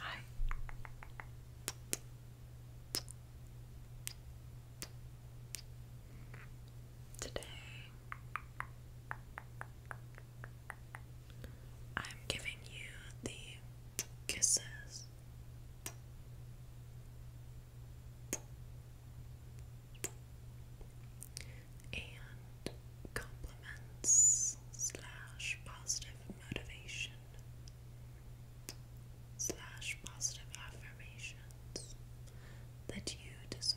Hi. Today I'm giving you the kisses. And compliments slash positive motivation slash positive affirmations that you deserve.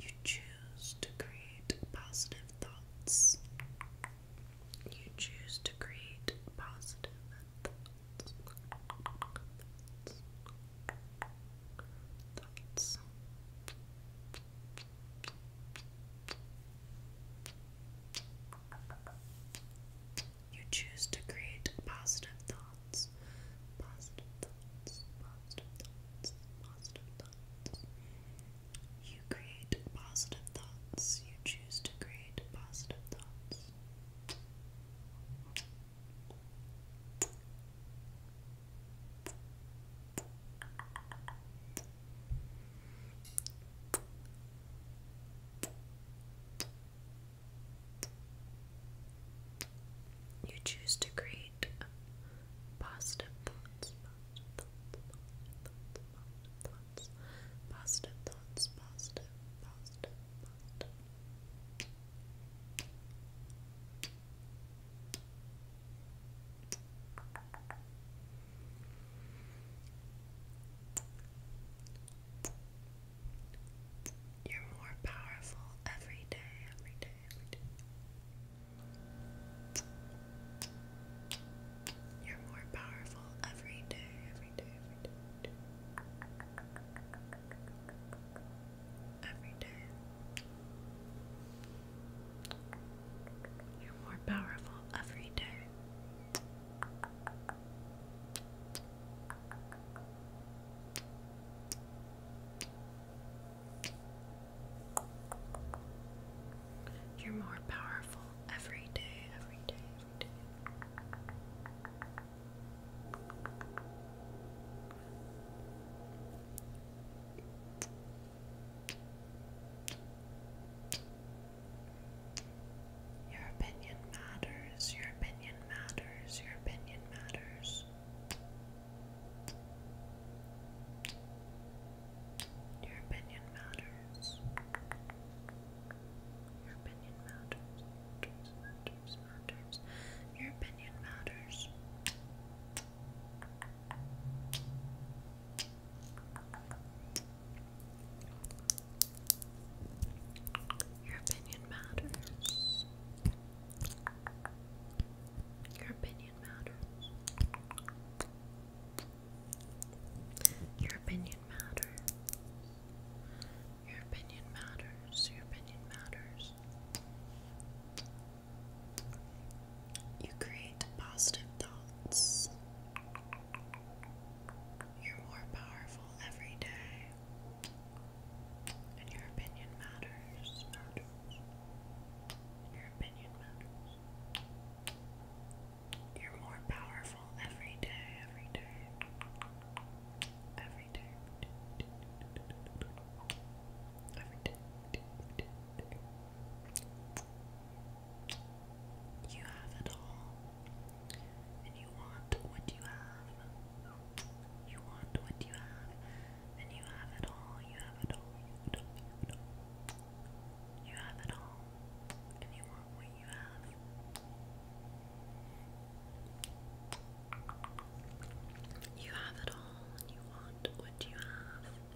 You choose to create positive thoughts. You choose to create positive thoughts. You choose to create positive thoughts. Positive thoughts. Positive thoughts. Positive thoughts. You create positive thoughts. You choose to create positive thoughts. You choose to create positive thoughts, positive thoughts, positive, positive, positive. You're more powerful every day, every day, every day. You're more powerful every day, every day, every day. Every day. You're more powerful every day. You're more powerful every day, every day, every day. Your opinion matters, your opinion matters, your opinion matters. Your opinion matters. Your opinion matters, matters, Your opinion matters. Your opinion matters. Your opinion matters. Your opinion matters. Your opinion matters. Your opinion matters. You create positive thoughts. You're more powerful every day. And your opinion matters. Your opinion matters. You're more powerful every day, every day. Every day. Every day. You have it all, and you want what you have. You want what you have, and you have it all. You have it all. You have it all. and you want what you have. You have it all, and you want what you have.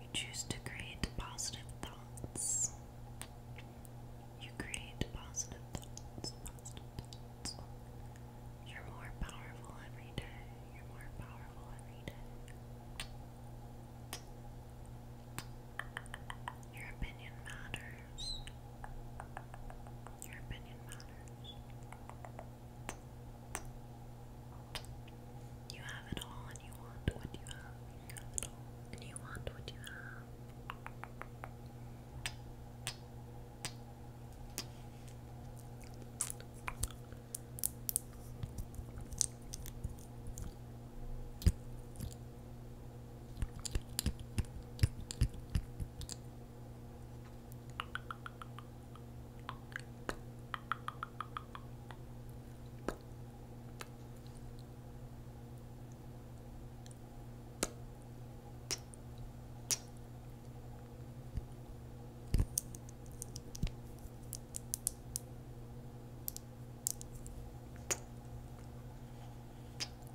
You choose to create positive thoughts. You create positive thoughts, You're more powerful every day. You're more powerful every day. Your opinion matters. Your opinion matters. You have it all and you want what you have. You have it all and you want what you have.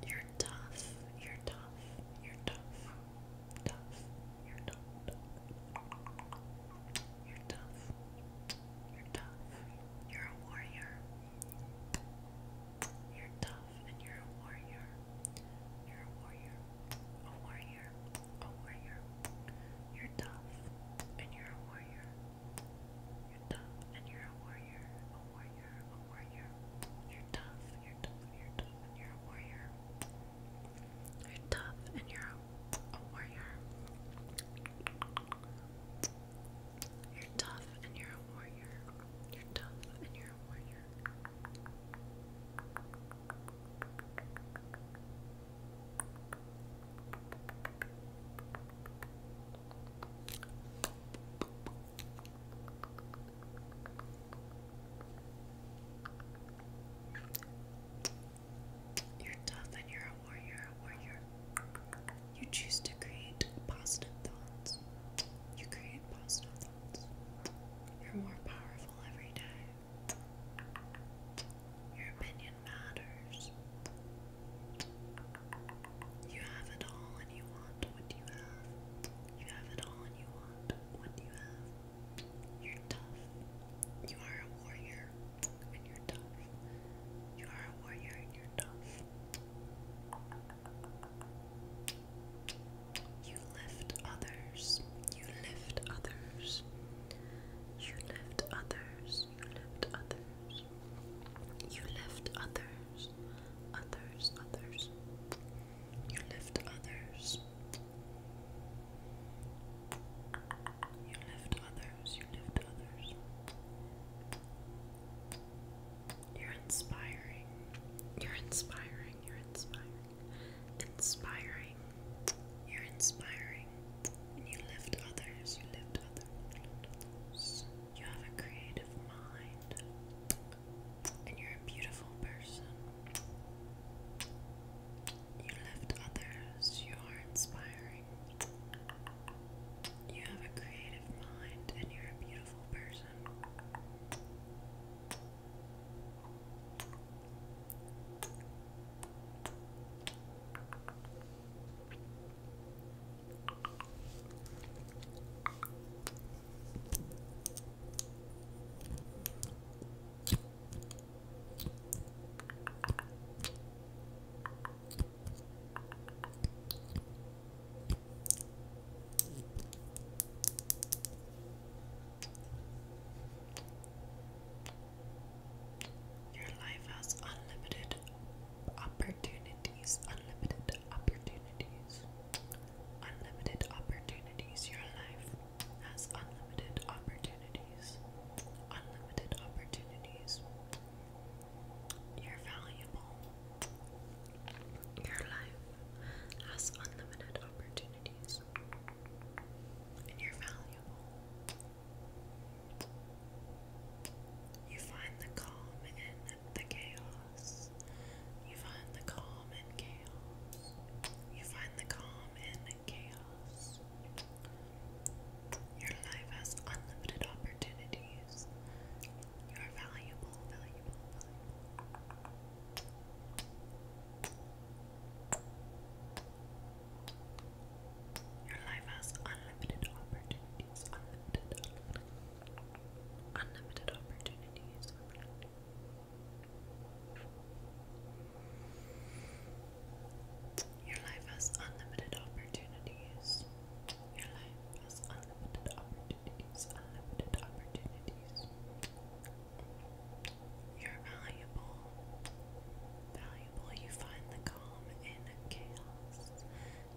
You're tough. You're tough. You're tough. Tough. You're tough. You're tough. You're tough. You're a warrior. You're tough and you're a warrior. You're a warrior. A warrior. A warrior. You're tough and you're a warrior. You're tough and you're a warrior. A warrior. A warrior. You're tough. You're tough. You're tough and you're a warrior. You're tough and you're a a warrior. You're tough and you're a warrior. You're tough and you're a warrior. You're tough and you're a warrior, warrior. You choose to create positive thoughts. You create positive thoughts. You're more powerful every day. Your opinion matters. You have it all and you want what you have. You have it all and you want what you have. You're tough. You are a warrior and you're tough. You are a warrior and you're tough. You lift others. You lift others. You lift others. You lift others. You lift others. Others, others. You lift others. You lift others, you lift others. You're inspiring. You're inspiring. You're inspiring. Inspiring. You're inspiring. And you lift others. You lift others. You have a creative mind. And you're a beautiful person. You lift others, you are inspiring. You have a creative mind and you're a beautiful person. Your life has unlimited opportunities, unlimited opportunities, unlimited opportunities. Your life has unlimited opportunities. Unlimited opportunities. You're valuable. Your life has unlimited opportunities. And you're valuable. You find the calm in the chaos. You find the calm in chaos. You find the calm in chaos. Your life has unlimited opportunities. You are valuable, Your life has unlimited opportunities. Unlimited, opportunities. Your life has unlimited opportunities. Your life has unlimited opportunities. Unlimited opportunities. You're valuable. Valuable. You find the calm in chaos.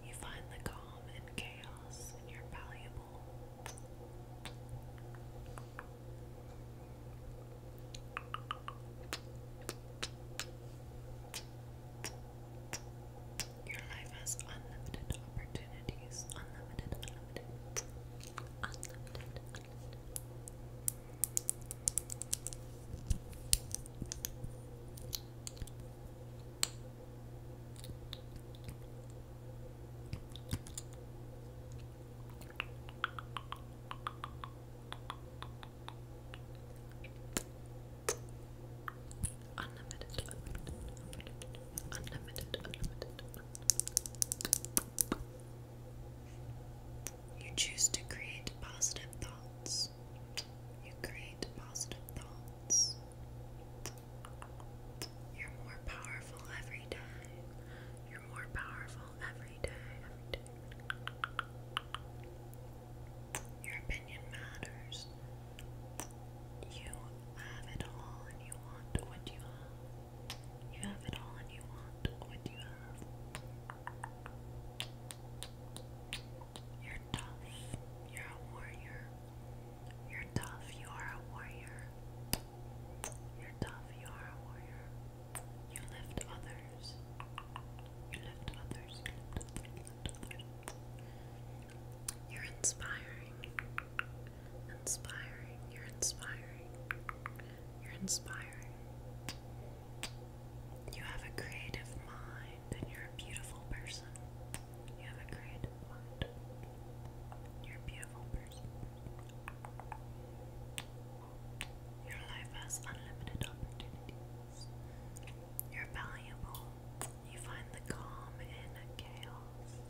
You find the calm in chaos, and you're valuable. Your life has unlimited opportunities. Unlimited, unlimited, unlimited, Unlimited, unlimited, unlimited, unlimited, You choose to create positive thoughts. You create positive thoughts. You're more powerful every day. You're more powerful every day, Your opinion matters. You have it all and you want what you have. You have it all and you want what you have. You're tough. You're a warrior. You're tough. You are a warrior. You're tough, you are a warrior. You lift others. You lift others, you are inspiring. Inspiring, you're inspiring. You're inspiring. You have a creative mind and you're a beautiful person. You have a creative mind. You're a beautiful person. Your life has unlimited opportunities. You're valuable. You find the calm in chaos.